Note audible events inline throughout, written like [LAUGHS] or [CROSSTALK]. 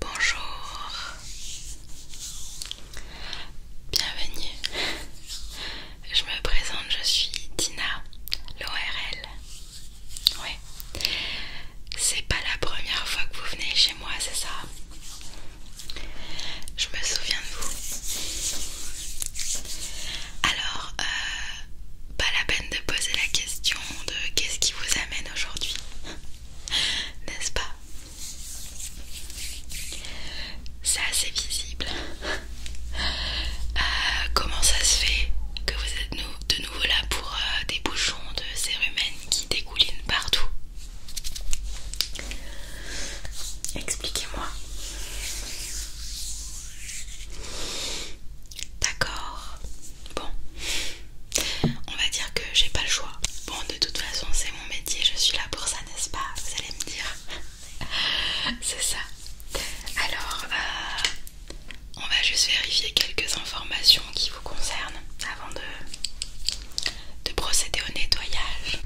Bonjour, bienvenue. Je me présente, je suis Dina, l'ORL. Ouais, c'est pas la première fois que vous venez chez moi, c'est ça Je me souviens de vous. Alors, euh, pas la peine de poser la question de qu'est-ce qui vous amène aujourd'hui, [LAUGHS] n'est-ce pas C'est assez visible. [LAUGHS] Euh, comment ça se fait que vous êtes de nouveau là pour euh, des bouchons de cérumen qui dégoulinent partout Expliquez-moi. D'accord. Bon. On va dire que j'ai pas le choix. Bon, de toute façon, c'est mon métier, je suis là pour ça, n'est-ce pas Vous allez me dire. [LAUGHS] c'est ça. Alors, euh, on va juste vérifier quelques informations qui vous concernent avant de procéder au nettoyage.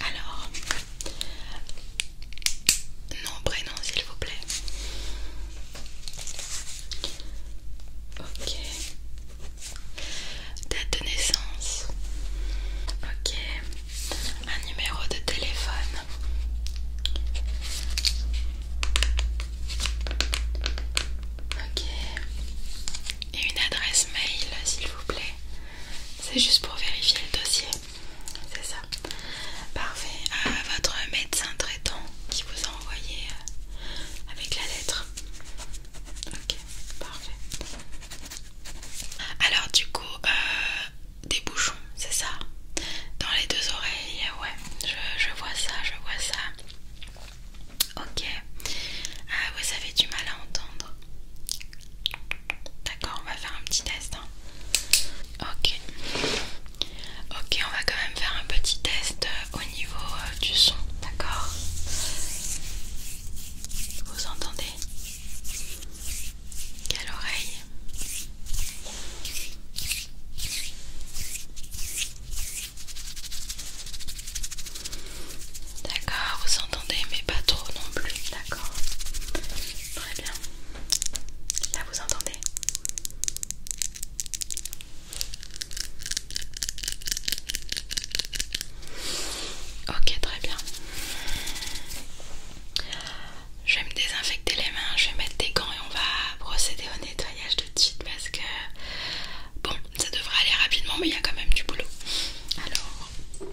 Alors, nom, prénom, s'il vous plaît. Ok. Date de naissance. Ok. Un numéro de téléphone. Ok. Et une adresse mail, s'il vous plaît. C'est juste pour vérifier le dossier. C'est ça. Parfait. Euh, votre médecin traitant qui vous a envoyé euh, avec la lettre. Ok, parfait. Alors du coup, euh, des bouchons, c'est ça Dans les deux oreilles, ouais, je, je vois ça, je vois ça. Ok. Ah, vous avez du mal à entendre D'accord, on va faire un petit test. Hein. Ok. Ok, on va quand même faire un petit test euh, au niveau euh, du son. D'accord Vous entendez Quelle oreille D'accord, vous entendez, mais pas trop non plus, d'accord Très bien. Là, vous entendez Ok, très bien. Je vais me désinfecter les mains, je vais mettre des gants et on va procéder au nettoyage tout de suite parce que bon, ça devrait aller rapidement, mais il y a quand même du boulot. Alors,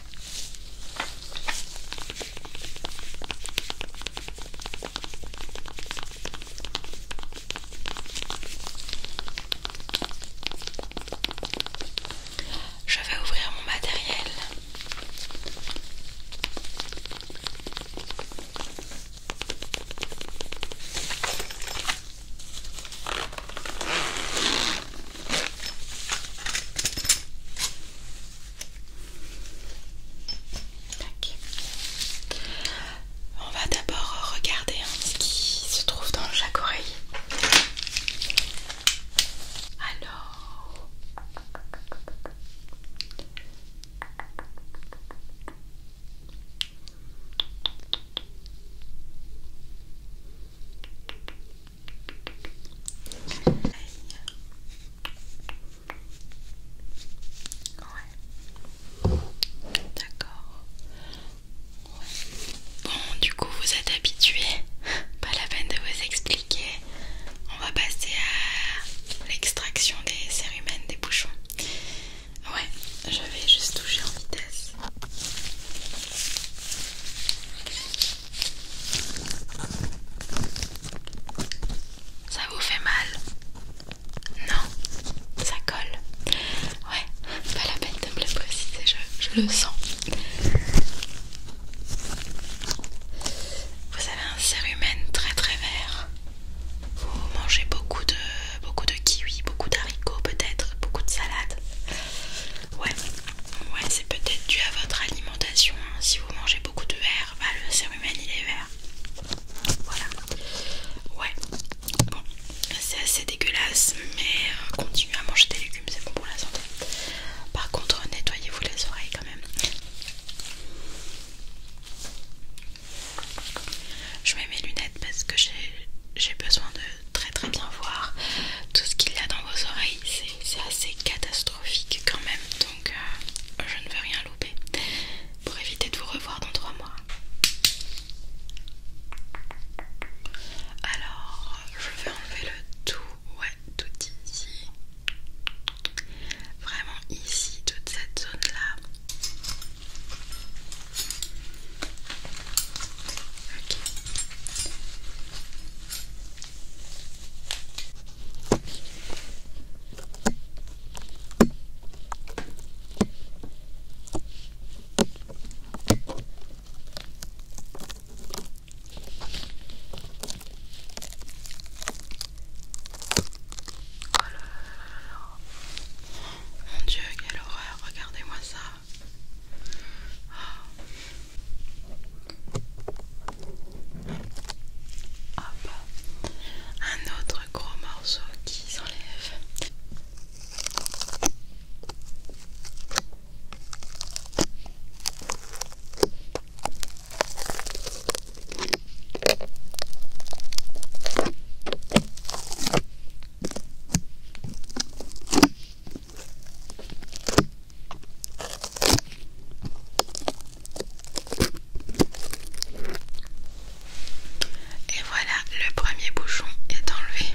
Je vais ouvrir mon matériel. On va d'abord regarder ce qui se trouve dans chaque oreille. Alors, D'accord. Bon, du coup, vous êtes habitués, Pas la peine de vous expliquer. On va passer à l'extraction des sérumènes des bouchons. Ouais, je vais juste toucher en vitesse. Ça vous fait mal Non Ça colle Ouais, pas la peine de me le préciser, je, le sens. Vous avez un cérumen très très vert. Vous mangez beaucoup de, beaucoup de kiwis, beaucoup d'haricots peut-être, beaucoup de salades. Ouais, ouais c'est peut-être dû à votre alimentation. Hein. Si vous mangez beaucoup de verre, bah, le cérumen il est vert. Voilà. Ouais, bon, c'est assez dégueulasse, mais euh, continuez à manger des légumes, c'est bon pour la santé. Par contre, nettoyez-vous les oreilles quand même. Je mets mes lunettes parce que j'ai besoin de très très bien voir tout ce qu'il y a dans vos oreilles c'est assez catastrophique quand même, donc euh, je ne veux rien louper pour éviter de vous revoir dans trois mois. Alors, je vais enlever le tout, ouais, tout ici. Vraiment ici, toute cette zone-là. Ok. Oh Mon dieu, quelle horreur Regardez-moi ça oh. Un autre gros morceau qui s'enlève. Et voilà, le premier bouchon est enlevé.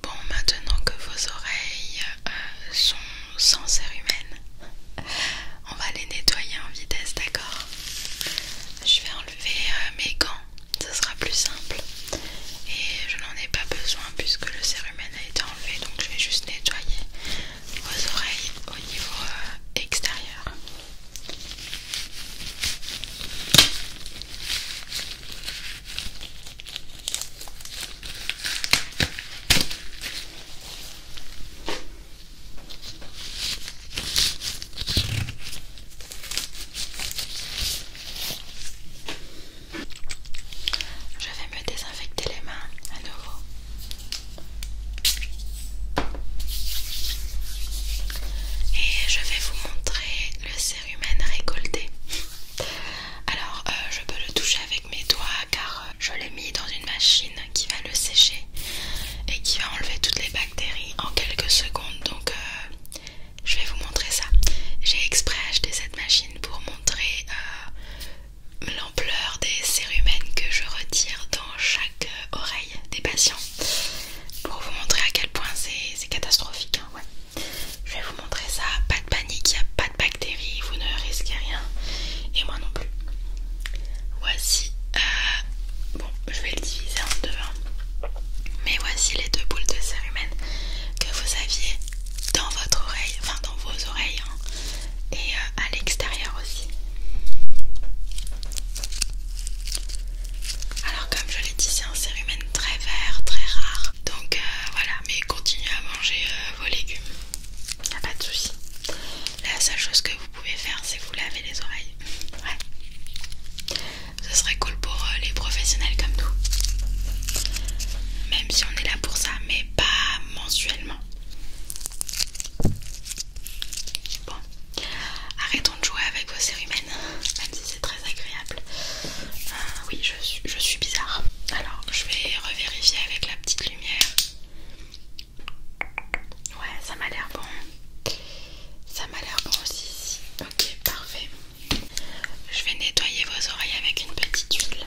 Bon, maintenant que vos oreilles euh, sont sans cérumen, on va les nettoyer en vitesse, d'accord Je vais enlever euh, mes gants, ce sera plus simple. Et je n'en ai pas besoin puisque le cérumen a été enlevé, donc je vais juste nettoyer vos oreilles au niveau euh, extérieur. Je vais me désinfecter les mains à nouveau. Et je vais vous montrer le cérumen récolté. Alors, euh, je peux le toucher avec mes doigts car euh, je l'ai mis dans une machine qui va le sécher et qui va enlever toutes les bactéries en quelques secondes donc euh, je vais vous montrer ça. J'ai exprès acheté cette machine pour montrer euh, l'ampleur des sérumènes que je retire dans chaque oreille des patients pour vous montrer à quel point c'est catastrophique. Hein, je vais vous montrer ça, pas de panique, il n'y a pas de bactéries, vous ne risquez rien. Et moi non plus. Voici, euh, bon je vais le diviser en deux, hein. mais voici les deux boules de cérumen que vous aviez dans votre oreille, enfin dans vos oreilles hein. et euh, à l'extérieur aussi. Alors comme je l'ai dit, c'est un cérumen très vert, très rare. Donc euh, voilà, mais continuez à manger vos légumes. a pas de souci. La seule chose que vous pouvez faire, c'est vous laver les oreilles. Ouais. Ce serait cool pour euh, les professionnels comme nous. Même si on est là pour ça, mais pas mensuellement. Bon, arrêtons de jouer avec vos cérumènes, même si c'est très agréable. Euh, oui, je je suis, bizarre. Alors, je vais revérifier avec la petite lumière. Ouais, ça m'a l'air bon. Ça m'a l'air bon aussi Ok, parfait. Je vais nettoyer vos oreilles avec une petite huile.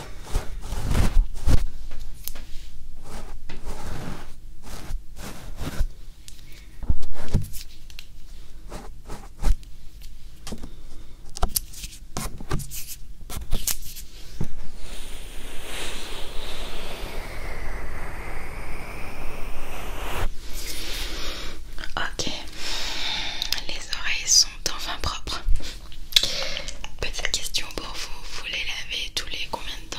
Ok, les oreilles sont enfin propres. Petite question pour vous, vous les lavez tous les combien de temps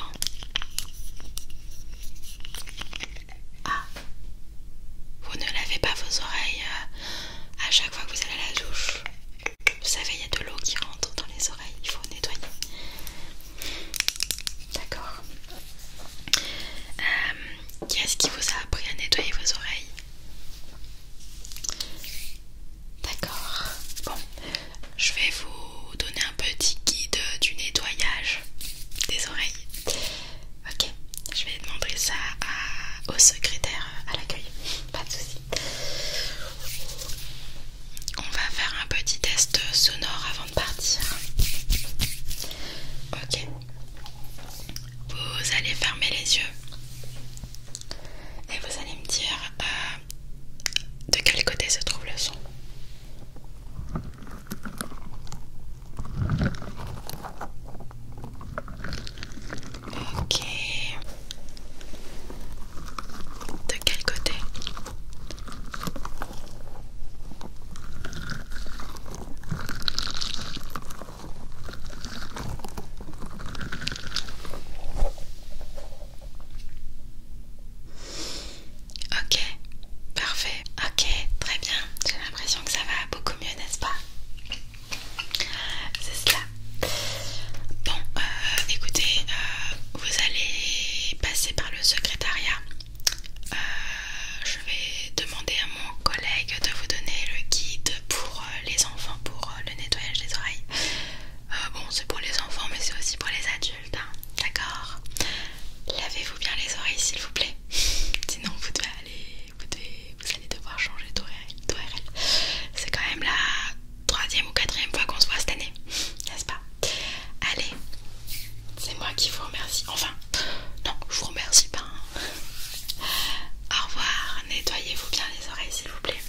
Ah Vous ne lavez pas vos oreilles euh, à chaque fois que vous allez à la douche. Vous savez, il y a de l'eau qui rentre dans les oreilles, il faut nettoyer. D'accord. Euh, qu'est-ce qui vous a appris à nettoyer vos oreilles D'accord. Bon, je vais vous donner un petit guide du nettoyage des oreilles. Ok, je vais demander ça au secrétaire à l'accueil. Pas de soucis On va faire un petit test sonore avant de partir. Ok. Vous allez fermer les yeux et vous allez me dire euh, de quel côté se trouve le son. Ok. De quel côté Ok, parfait. Ok, très bien. J'ai l'impression que ça va beaucoup mieux, n'est-ce pas C'est cela. Bon, euh, écoutez, euh, vous allez passer par le secrétariat. Euh, je vais demander à mon collègue de vous donner le guide pour les enfants pour le nettoyage des oreilles. Ah, bon, c'est pour les enfants, mais c'est aussi pour les adultes, hein. d'accord Lavez-vous bien les oreilles, s'il vous plaît. [LAUGHS] Sinon, vous devez aller, vous, devez, vous allez devoir changer d'oreille C'est quand même la troisième ou quatrième fois qu'on se voit cette année, n'est-ce pas Allez, c'est moi qui vous remercie. Enfin, non, je vous remercie pas. Hein. Au revoir. Nettoyez-vous bien les oreilles, s'il vous plaît.